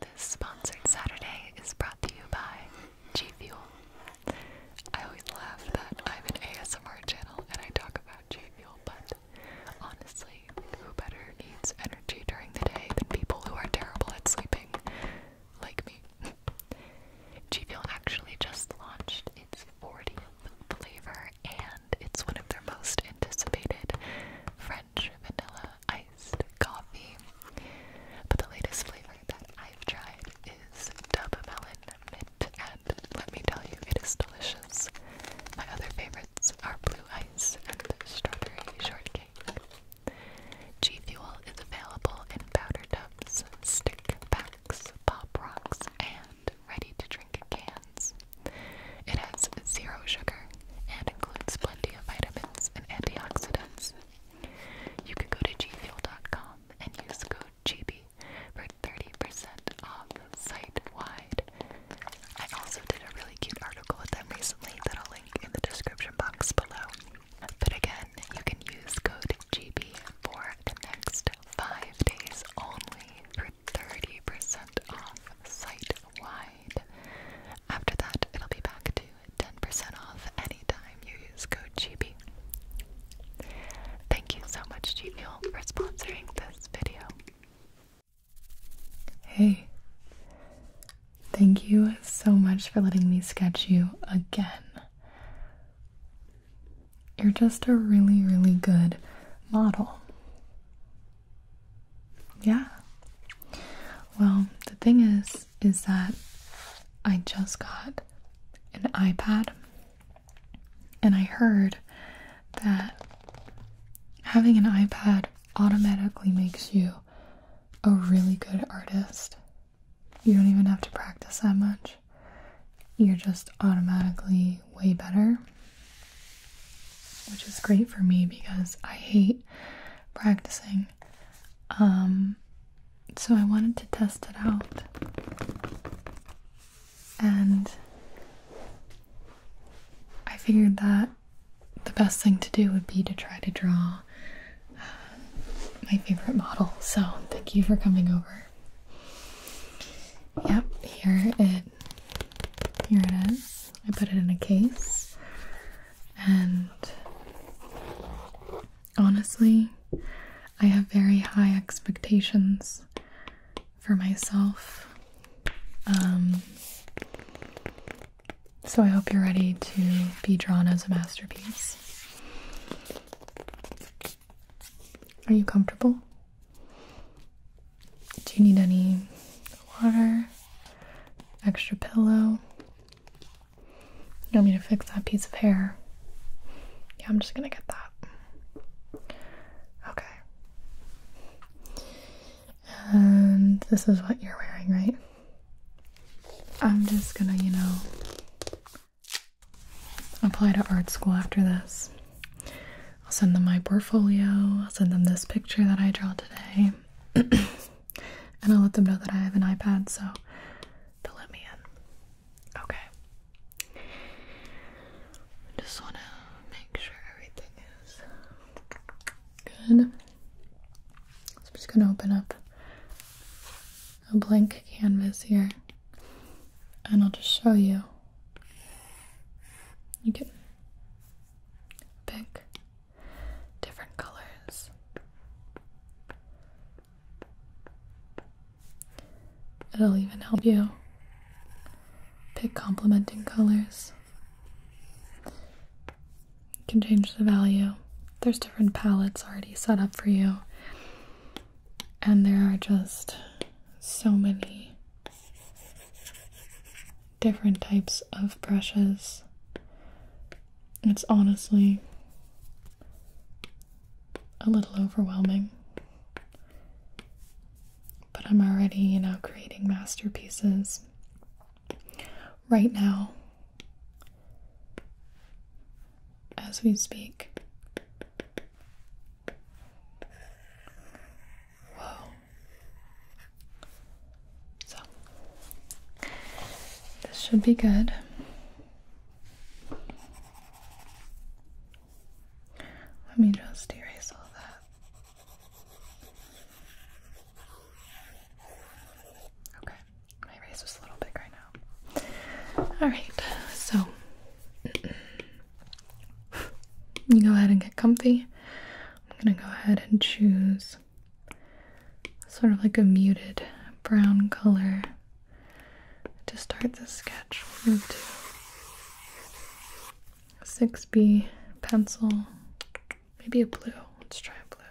This sponsored Saturday is brought to you by G Fuel. I always laugh that I have an ASMR channel and I talk about G Fuel, but honestly, who better needs energy during the day than people who are terrible at sleeping, like me? G Fuel actually just launched its 40th flavor and it's one of their most anticipated vanilla iced coffee. But the latest flavor that I've tried is Dub Mint, and let me tell you, it is delicious. My other favorites are Blue Ice and Strawberry Shortcake. G Fuel is available in powder tubs, stick packs, pop rocks, and ready to drink cans. It has zero sugar, and includes plenty of vitamins and antioxidants. You can go to gfuel.com and use code GB for 30% off site wide. I also did a really cute article with them recently that I'll link in the description box below. But again, you can use code GB for the next five days only for 30% off site wide. After that, it'll be back to 10% off anytime you use code Chibi. Thank you so much, Gmail, for sponsoring this video. Hey, thank you so much for letting me sketch you again. You're just a really, really good model. Yeah. Well, the thing is, is that I just got an iPad and I heard that having an iPad automatically makes you a really good artist. You don't even have to practice that much. You're just automatically way better, which is great for me because I hate practicing. Um, so I wanted to test it out. And I figured that the best thing to do would be to try to draw uh, my favorite model. So thank you for coming over. Yep, here it here it is. I put it in a case, and honestly, I have very high expectations for myself. Um, so I hope you're ready to be drawn as a masterpiece. Are you comfortable? Do you need any water? extra pillow. You don't need to fix that piece of hair. Yeah, I'm just gonna get that. Okay. And this is what you're wearing, right? I'm just gonna, you know, apply to art school after this. I'll send them my portfolio, I'll send them this picture that I draw today. and I'll let them know that I have an iPad so they'll let me in. Okay. Just want to make sure everything is good. I'm just going to open up a blank canvas here and I'll just show you. You can pick different colors. It'll even help you pick complementing colors. You can change the value. There's different palettes already set up for you, and there are just so many different types of brushes. It's honestly a little overwhelming. But I'm already, you know, creating masterpieces right now as we speak. So, this should be good. Let me just erase all that. Okay, my race was a little big right now. Alright, so you go ahead and get comfy. I'm gonna go ahead and choose sort of like a muted brown color to start the sketch. We'll move to 6B pencil, maybe a blue. Let's try a blue.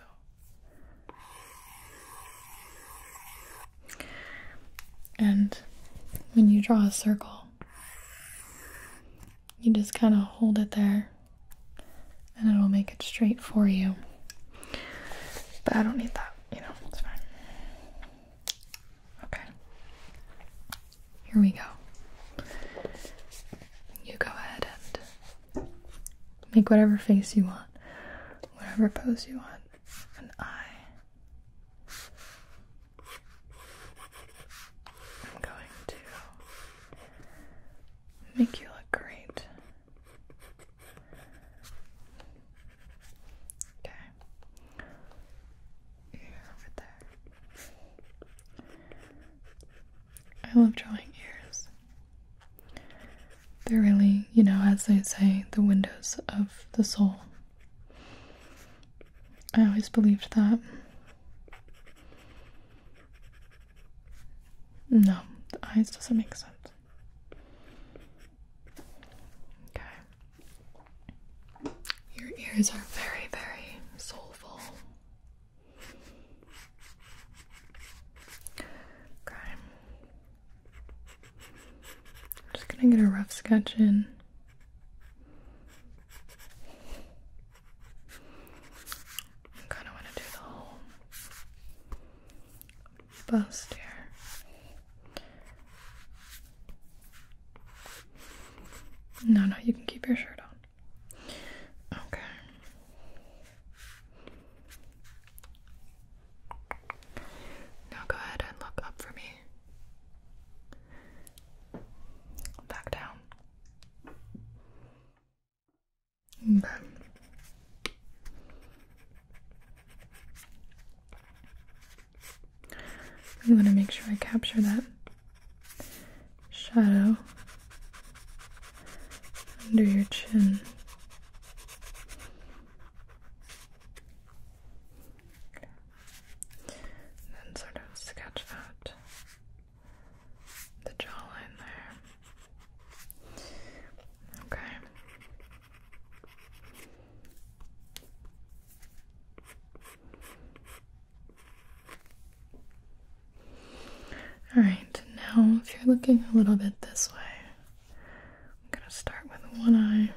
And when you draw a circle, you just kind of hold it there and it'll make it straight for you. But I don't need that, you know, it's fine. Okay. Here we go. You go ahead and make whatever face you want, whatever pose you want. An I'm going to Make you look great. Okay. you over there. I love drawing ears. They're really, you know, as they say, the windows of the soul. I always believed that. No, uh, the eyes doesn't make sense. Okay. Your ears are very, very soulful. Okay. I'm just gonna get a rough sketch in. I kind of want to do the whole bust here. No, no, you can keep your shirt on. Okay. Now go ahead and look up for me. Back down. I want to make sure I capture that shadow under your chin. And then sort of sketch that the jawline there. Okay. Alright, now if you're looking a little bit this way, I'm gonna start with one eye.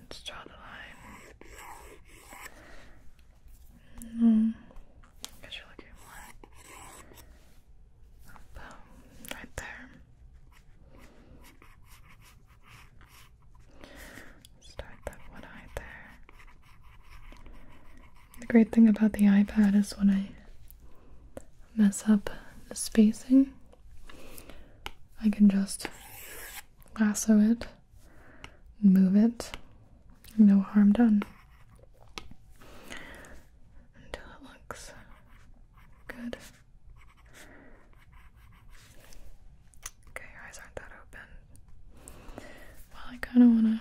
Let's draw the line. Um, right there. Start that one eye there. The great thing about the iPad is when I mess up the spacing, I can just lasso it move it. No harm done. Until it looks good. Okay, your eyes aren't that open. Well, I kind of want to.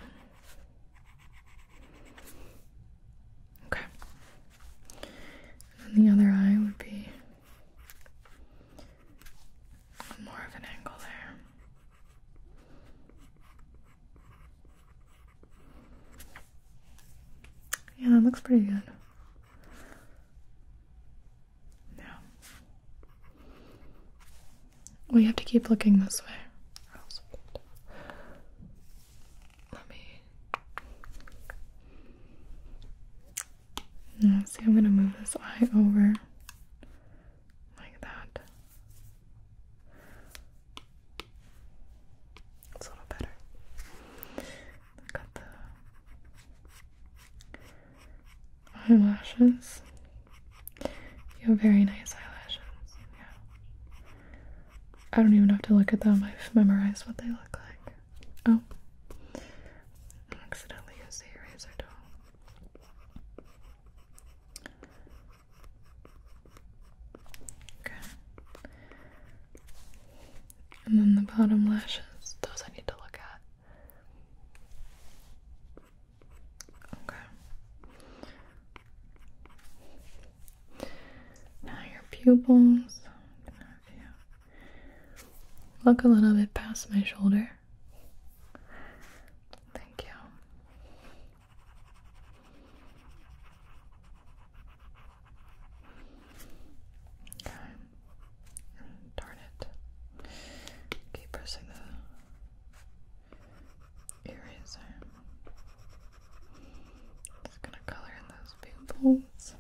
Okay. the other eye would be more of an angle there. Yeah, that looks pretty good. Now, we have to keep looking this way. Let me. see, I'm gonna move this eye over like that. It's a little better. i got the eyelashes. You have very nice eyelashes. Yeah. I don't even have to look at them. I've memorized what they look like. Oh. I accidentally used the eraser tool. Okay. And then the bottom lashes, those I need to look at. Okay. Now your pupils. Look a little bit past my shoulder. Thank you. Okay. Darn it. Keep pressing the eraser. Just gonna color in those pupils.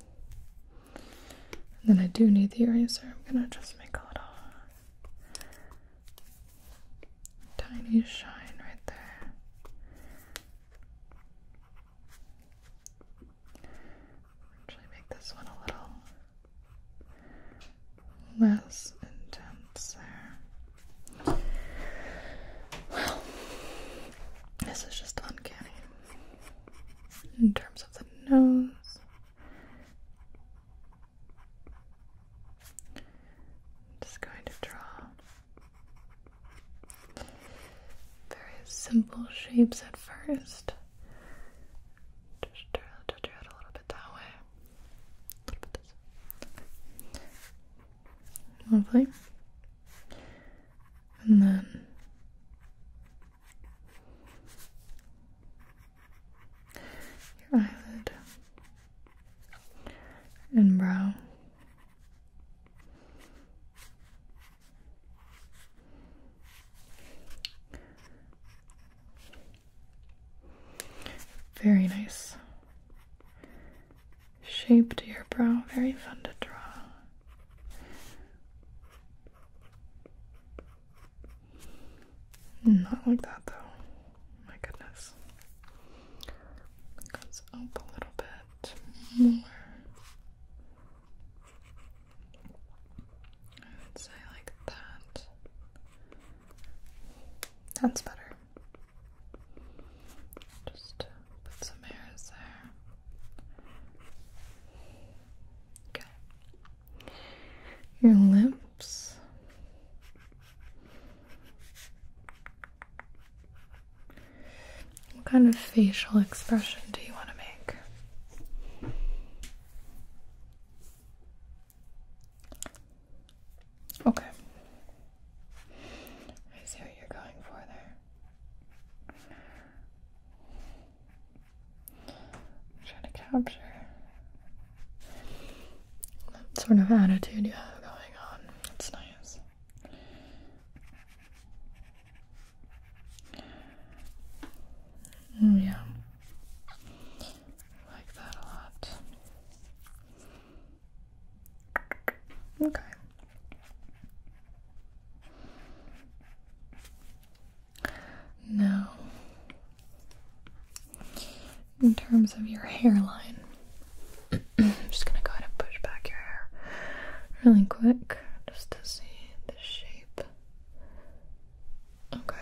And then I do need the eraser. I'm gonna just make a little Tiny shine right there. Actually, make this one a little less intense there. Well, this is just uncanny in terms of the nose. I'm just going to draw very simple shapes at first. Just draw, draw, draw a little bit that way. Lovely. And then your eyelid and brow. Very nice shape to your brow, very fun to draw. Not like that though. My goodness. Goes up a little bit more. I would say like that. That's better. Just put some hairs there. Okay. Your lips. What kind of facial expression do you want to make? Okay. I see what you're going for there. I'm trying to capture what sort of attitude you have going on. That's nice. Mm, yeah. like that a lot. Okay. Now, in terms of your hairline. I'm just gonna go ahead and push back your hair really quick just to see the shape. Okay.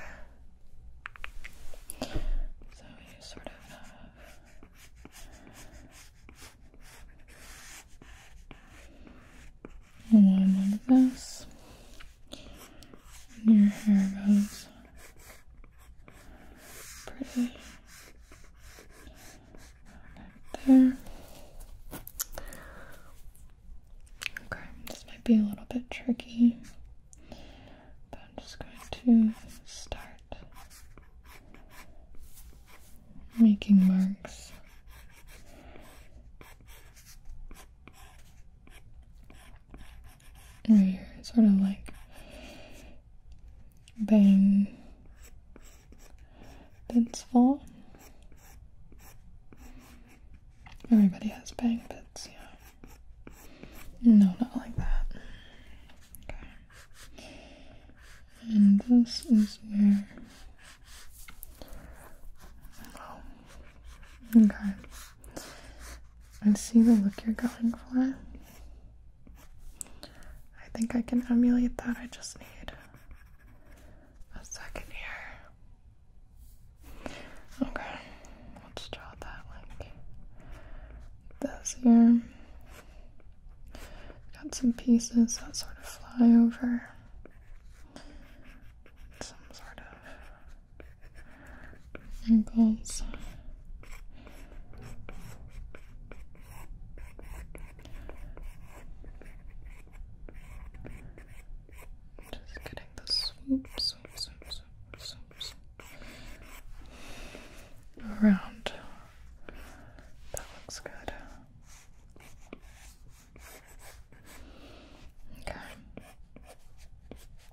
So you sort of have one like this. And your hair goes pretty. There. Okay, this might be a little bit tricky, but I'm just going to start making marks sort of like bang bits fall. Everybody has bang bits, yeah. No, not like that. And this is where. Oh. Okay. I see the look you're going for. I think I can emulate that. I just need a second here. Okay, let's draw that like this here. Got some pieces that sort of fly over. Some sort of and also just getting the swoop, swoop, swoop, swoop, around. That looks good. Okay.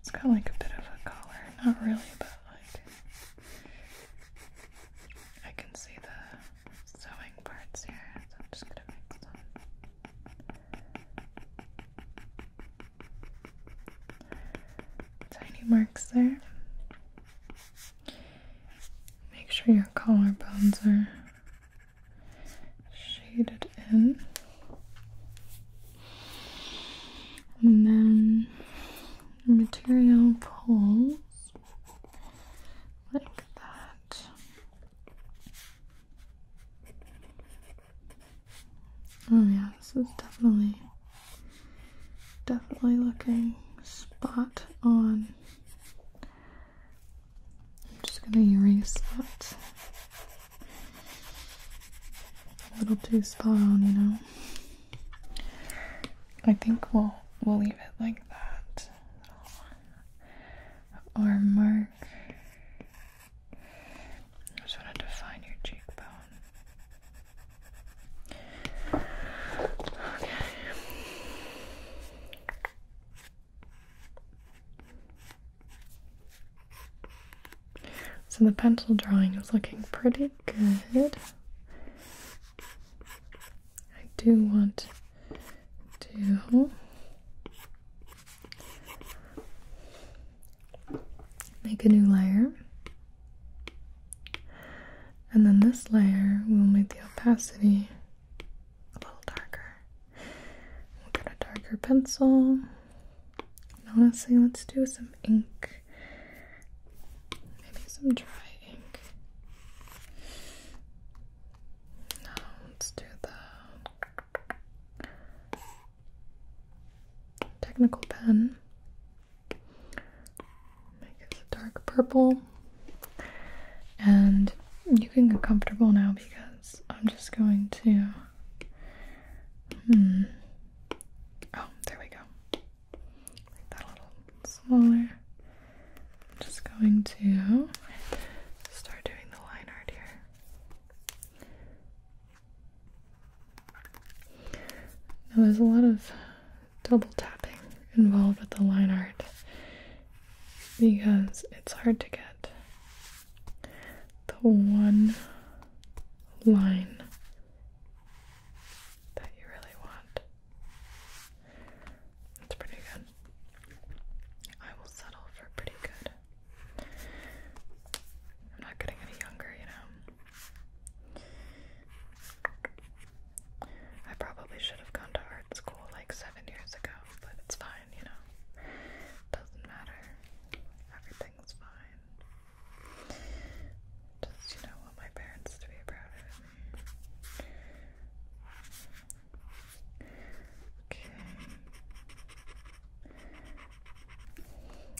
It's got like a bit of a collar, not really, but like I can see the sewing parts here, so I'm just gonna make some tiny marks there. Make sure your collarbones are shaded and then material pulls like that. Oh yeah, this is definitely definitely looking spot on. I'm just gonna erase that a little too spot on, you know. I think we'll we'll leave it like that. Or mark. I just want to define your cheekbone. So the pencil drawing is looking pretty good. I do want to make a new layer. And then this layer will make the opacity a little darker. We'll get a darker pencil. And honestly, let's do some ink. Maybe some dry ink. No, let's do the technical pen. Make it a dark purple. And you can get comfortable now because I'm just going to Hmm. Oh, there we go. that a little smaller. I'm just going to start doing the line art here. Now, there's a lot of double tapping involved with the line art because it's hard to get the one line that you really want. That's pretty good. I will settle for pretty good. I'm not getting any younger, you know. I probably should have gone to art school like seven years ago, but it's fine, you know. Doesn't matter. Everything's fine fine. you know, want my parents to be proud of me. Okay.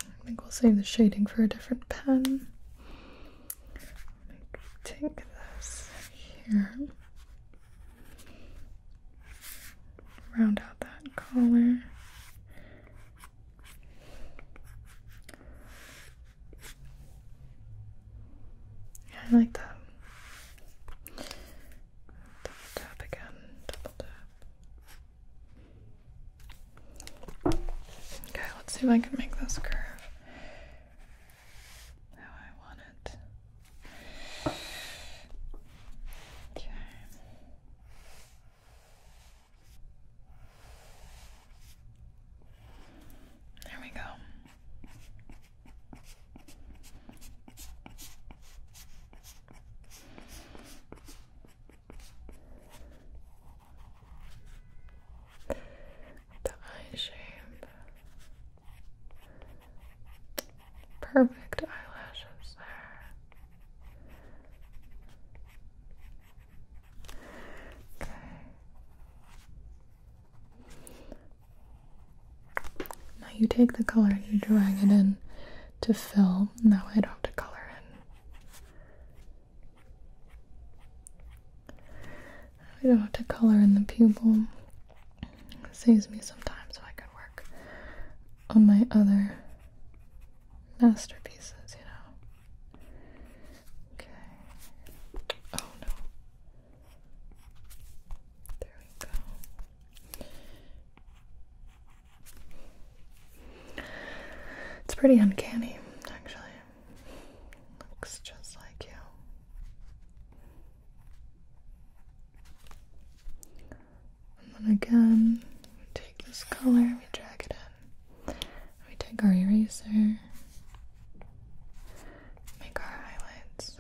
I think we'll save the shading for a different pen. Take this here round out that collar. Yeah, I like that. Double tap again, double tap. Okay, let's see if I can make this curve how I want it. Okay. There we go. The eye shape. Perfect eyelashes now you take the color and you drag it in to fill. Now I don't have to color in. I don't have to color in the pupil. It saves me some time so I can work on my other masterpieces, you know. Okay. Oh no. There we go. It's pretty uncanny, actually. Looks just like you. And then again, we take this color, we drag it in. We take our eraser, make our highlights.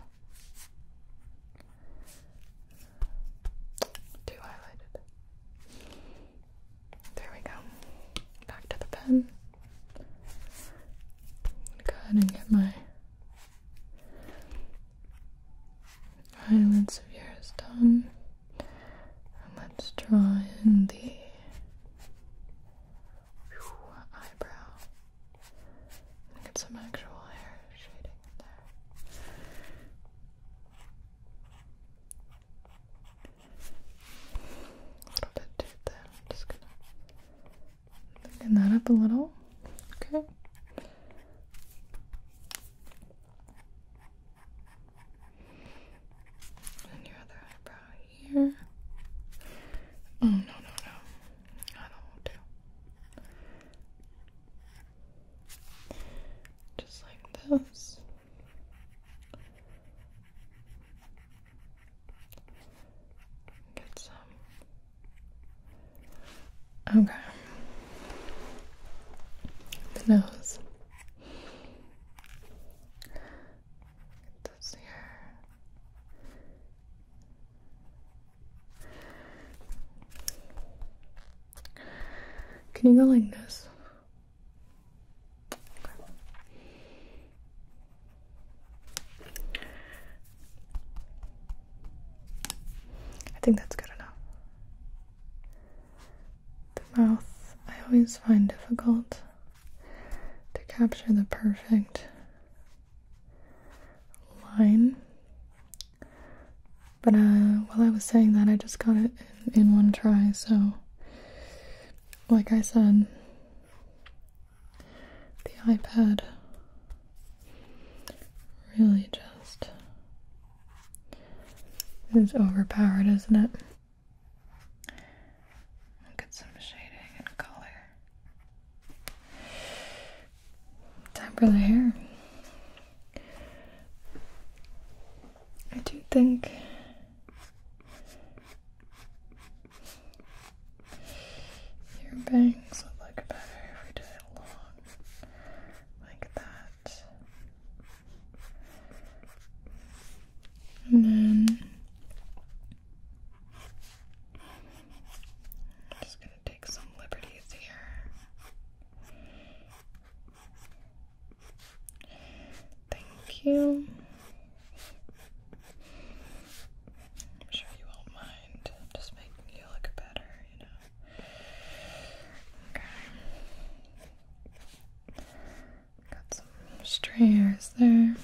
Two highlighted. There we go. Back to the pen. Go ahead and get my Eyelids of yours done. let's draw in the eyebrow. get some actual hair shading there. A little bit too thin. I'm just gonna thin that up a little. Okay. And your other eyebrow here. Oh, no, no, no. I don't want Just like this. Get some Okay. The nose. this here. Can you go like this? I think that's good enough. The mouth I always find difficult to capture the perfect line. But uh, while I was saying that, I just got it in one try, so like I said, the iPad really just it's overpowered, isn't it? Get some shading and color. Time for the hair. I do think your bangs look better if we did like that. And then I'm just going to take some liberties here. Thank you. I'm sure you won't mind just making you look better. Got some strays there.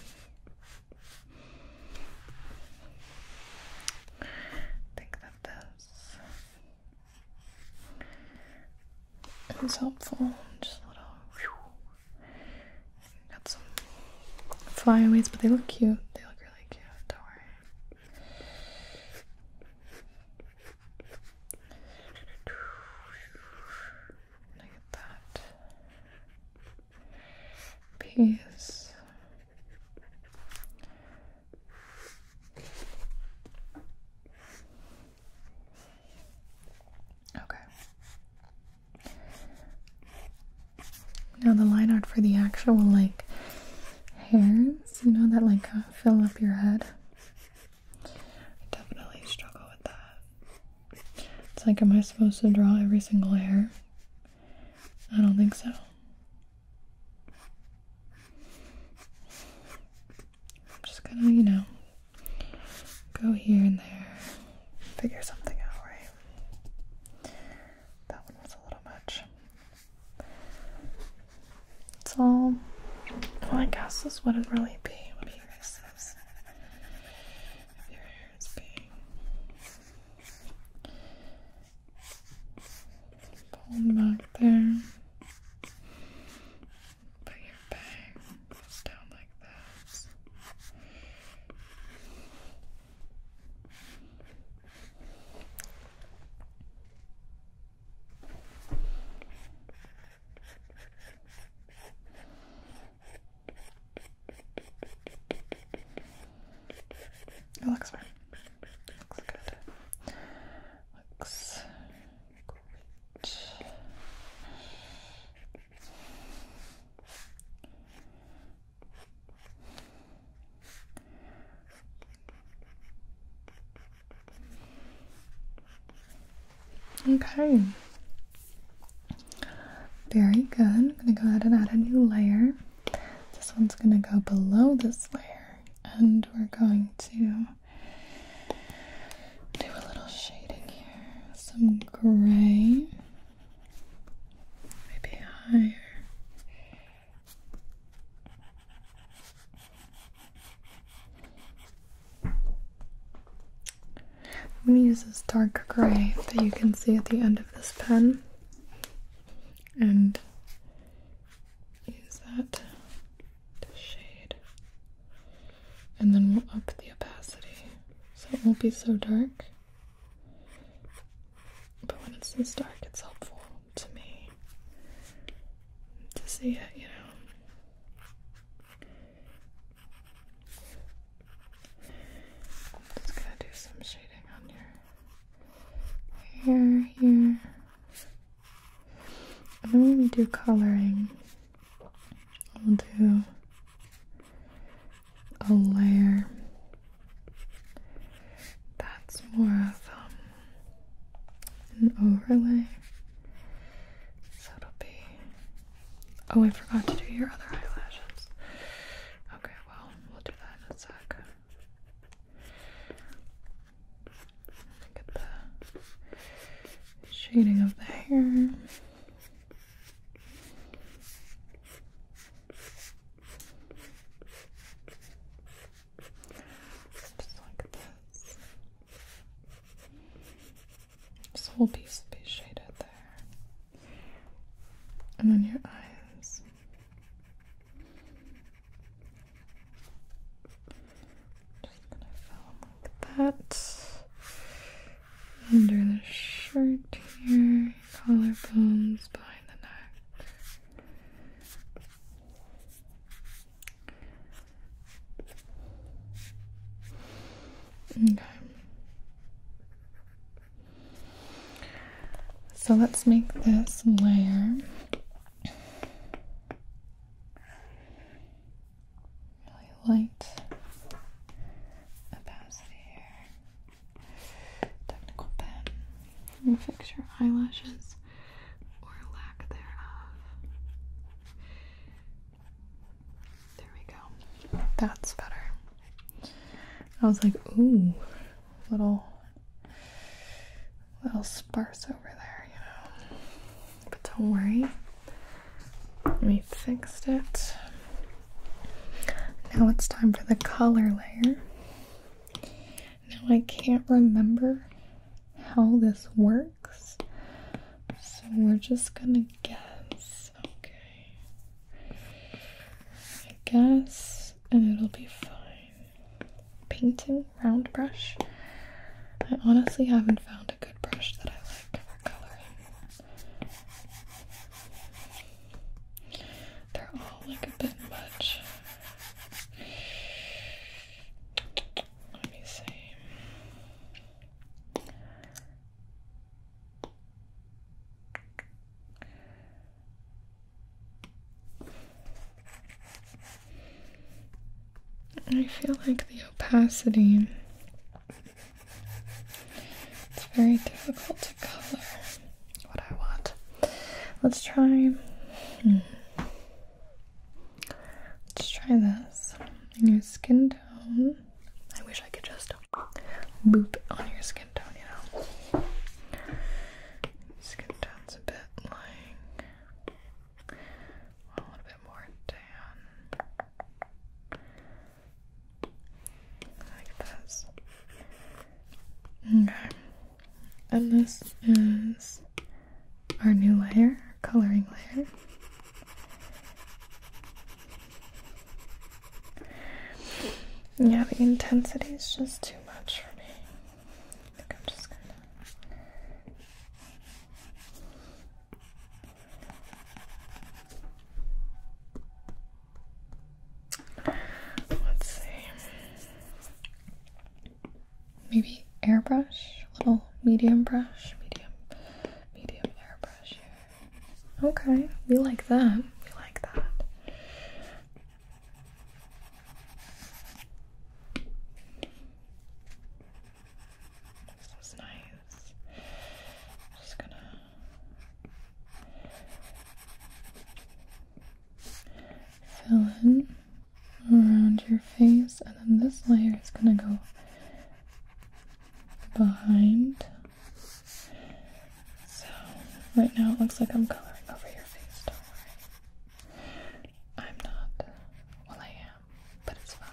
I think that this is helpful. Just a little. Got some flyaways, but they look cute. They look really cute. Don't worry. I get that piece. Okay. Now the line art for the actual like hairs, you know that like uh, fill up your head. I definitely struggle with that. It's like, am I supposed to draw every single hair? I don't think so. I'm just gonna, you know, go here and there, figure something out, right? That one was a little much. It's all. I guess this wouldn't really be. Your hair is being pulled back there. But your bang down like this. It looks fine. Looks good. Looks great. Okay. Very good. I'm going to go ahead and add a new layer. This one's going to go below this layer, and we're going to do a little shading here. Some gray, maybe higher let me use this dark gray that you can see at the end of this pen and use that to shade. And then we'll up the opacity so it won't be so dark. But when it's this dark, it's helpful to me to see it, you know. I'm just gonna do some shading on your hair here. And then when we do coloring, we'll do a layer that's more of um, an overlay. So it'll be. Oh, I forgot to do your other eyelashes. Okay, well, we'll do that in a sec. Look the shading of the hair. Just like this. This whole piece will be shaded there. And then your eyes. Just gonna film like that. Under the shirt here, collarbones behind the neck. Okay. So let's make this layer really light opacity here. Technical pen. fix your eyelashes or lack thereof. There we go. That's better. I was like, ooh, little, little sparse over there, you know. But don't worry, we fixed it. Now it's time for the color layer. Now I can't remember how this works. So we're just gonna guess. Okay. I guess, and it'll be fine. Painting round brush. I honestly haven't found a good brush that I like for coloring. They're all like a bit much. Let me see. I feel like the opacity it's very difficult to color what I want. Let's try. Hmm. Let's try this your skin tone. I wish I could just boop on your skin tone, you know. Skin tone's a bit like a little bit more tan. Like this. Okay and this is our new layer, our coloring layer. Yeah, the intensity is just too much for me. I'm just gonna. Let's see maybe airbrush, a little medium brush, medium, medium airbrush Okay, we like that. We like that. This is nice. just gonna fill in around your face, and then this layer is going to go behind. So, right now it looks like I'm coloring over your face, don't worry. I'm not. Well, I am, but it's fine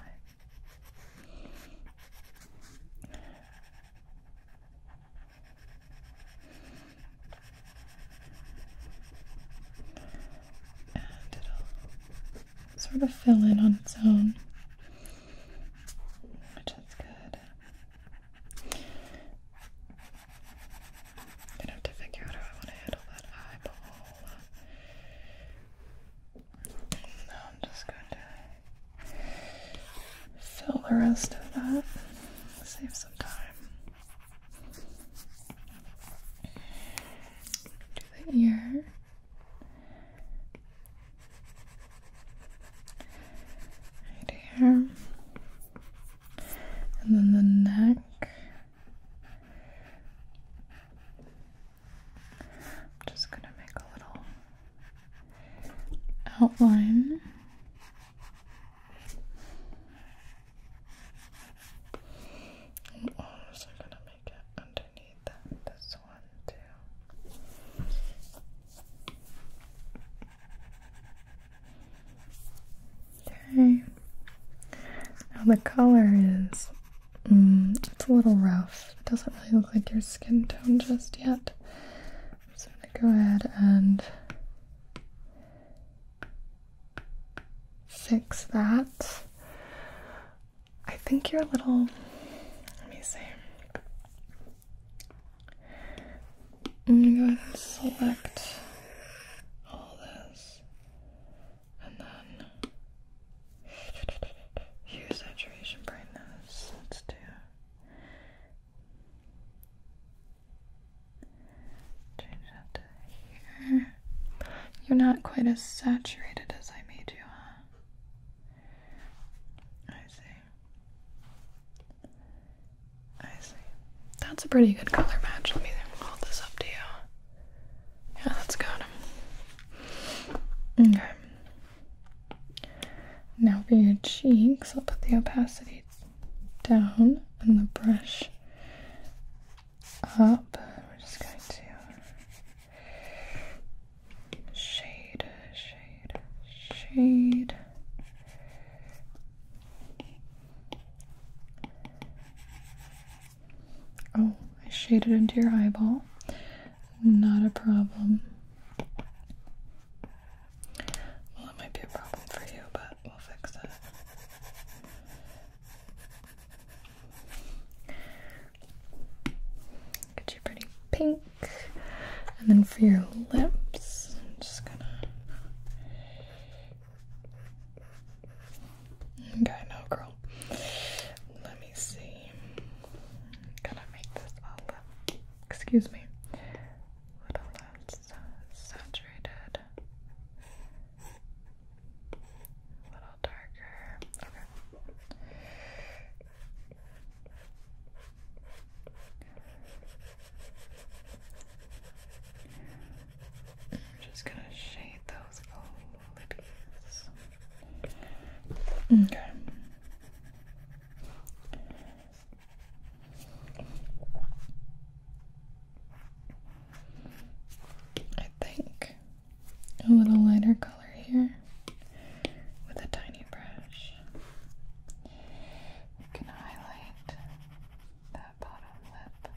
and it'll sort of fill in on its own, which is good. gonna have to figure out how I want to handle that eyeball. Now I'm just going to fill the rest of that, save some time the ear. Right here. And then the neck. I'm just going to make a little outline. And arms are gonna make it underneath this one too. Okay. Now the color is mm, it's a little rough. It doesn't really look like your skin tone just yet. So I'm gonna go ahead and Fix that. I think you're a little, let me see. I'm gonna select all this and then hue, saturation, brightness. Let's do you're not quite as saturated as I made you, huh? I see. I see. That's a pretty good color match. Let me hold this up to you. Yeah, that's good. Okay. Now for your cheeks, I'll put the opacity down on the brush up. We're just going to shade, shade, shade. Oh, I shaded into your eyeball. Not a problem. Well, it might be a problem for you, but We'll fix that. Get you pretty pink. And then for your lips, I'm just gonna. Okay, no, girl. Let me see. Gotta make this all Excuse me. Little less saturated. A little darker. Okay. I'm just gonna shade those lippies. Mm. Okay. I think a little lighter color here with a tiny brush. You can highlight that bottom lip.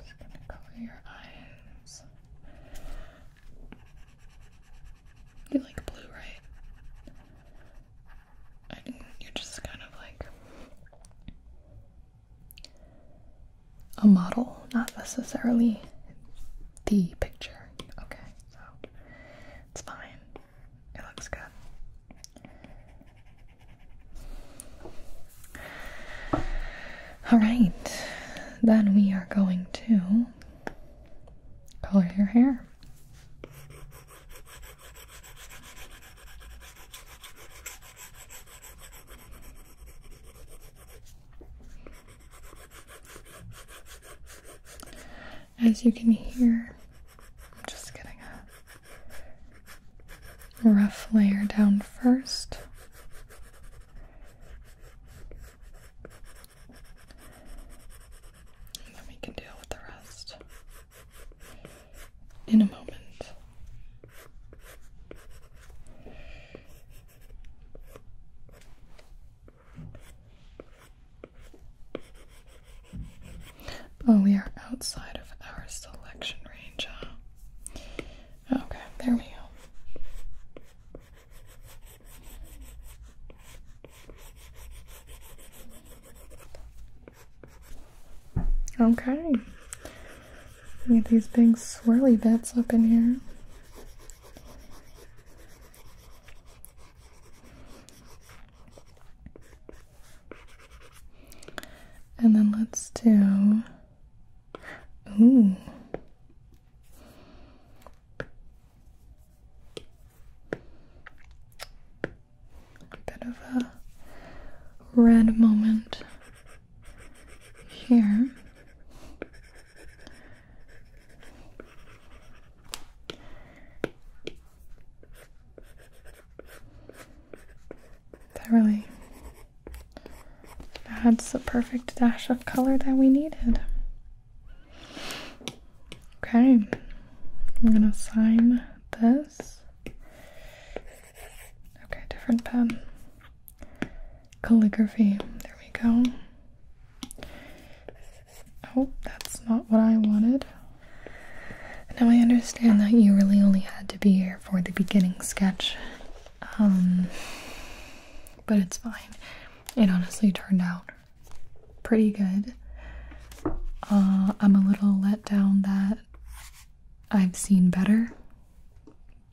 Just gonna color your eyes you like blue, right? you're just kind of like a model, not necessarily the picture. Okay, so it's fine. It looks good. All right, then we are going to color your hair. As you can hear, I'm just getting a rough layer down first then we can deal with the rest in a moment. Oh, we are outside of our selection range, Okay, there we go. Okay. Look at these big swirly bits up in here. And then let's do. Ooh. A bit of a red moment here. That really adds the perfect dash of color that we needed. Okay, I'm gonna sign this. Okay, different pen. Calligraphy. There we go. Oh, that's not what I wanted. Now I understand that you really only had to be here for the beginning sketch. Um, but it's fine. It honestly turned out pretty good. Uh, I'm a little let down that I've seen better,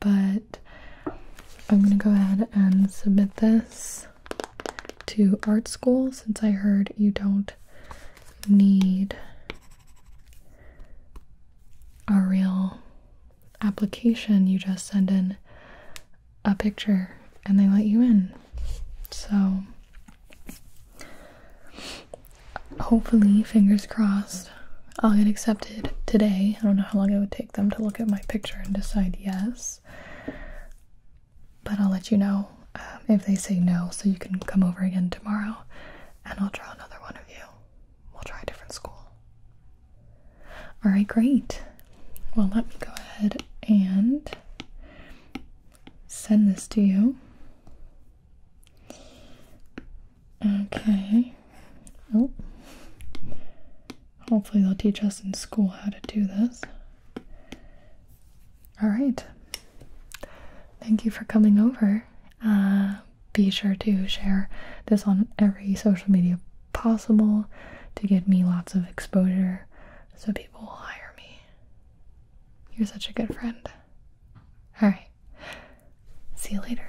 but I'm gonna go ahead and submit this to art school since I heard you don't need a real application, you just send in a picture and they let you in. So, hopefully, fingers crossed, I'll get accepted today. I don't know how long it would take them to look at my picture and decide yes, but I'll let you know um, if they say no so you can come over again tomorrow and I'll draw another one of you. We'll try a different school. All right, great. Well, let me go ahead and send this to you. Okay. Oh. Hopefully, they'll teach us in school how to do this. All right. Thank you for coming over. Uh, be sure to share this on every social media possible to get me lots of exposure so people will hire me. You're such a good friend. All right. See you later.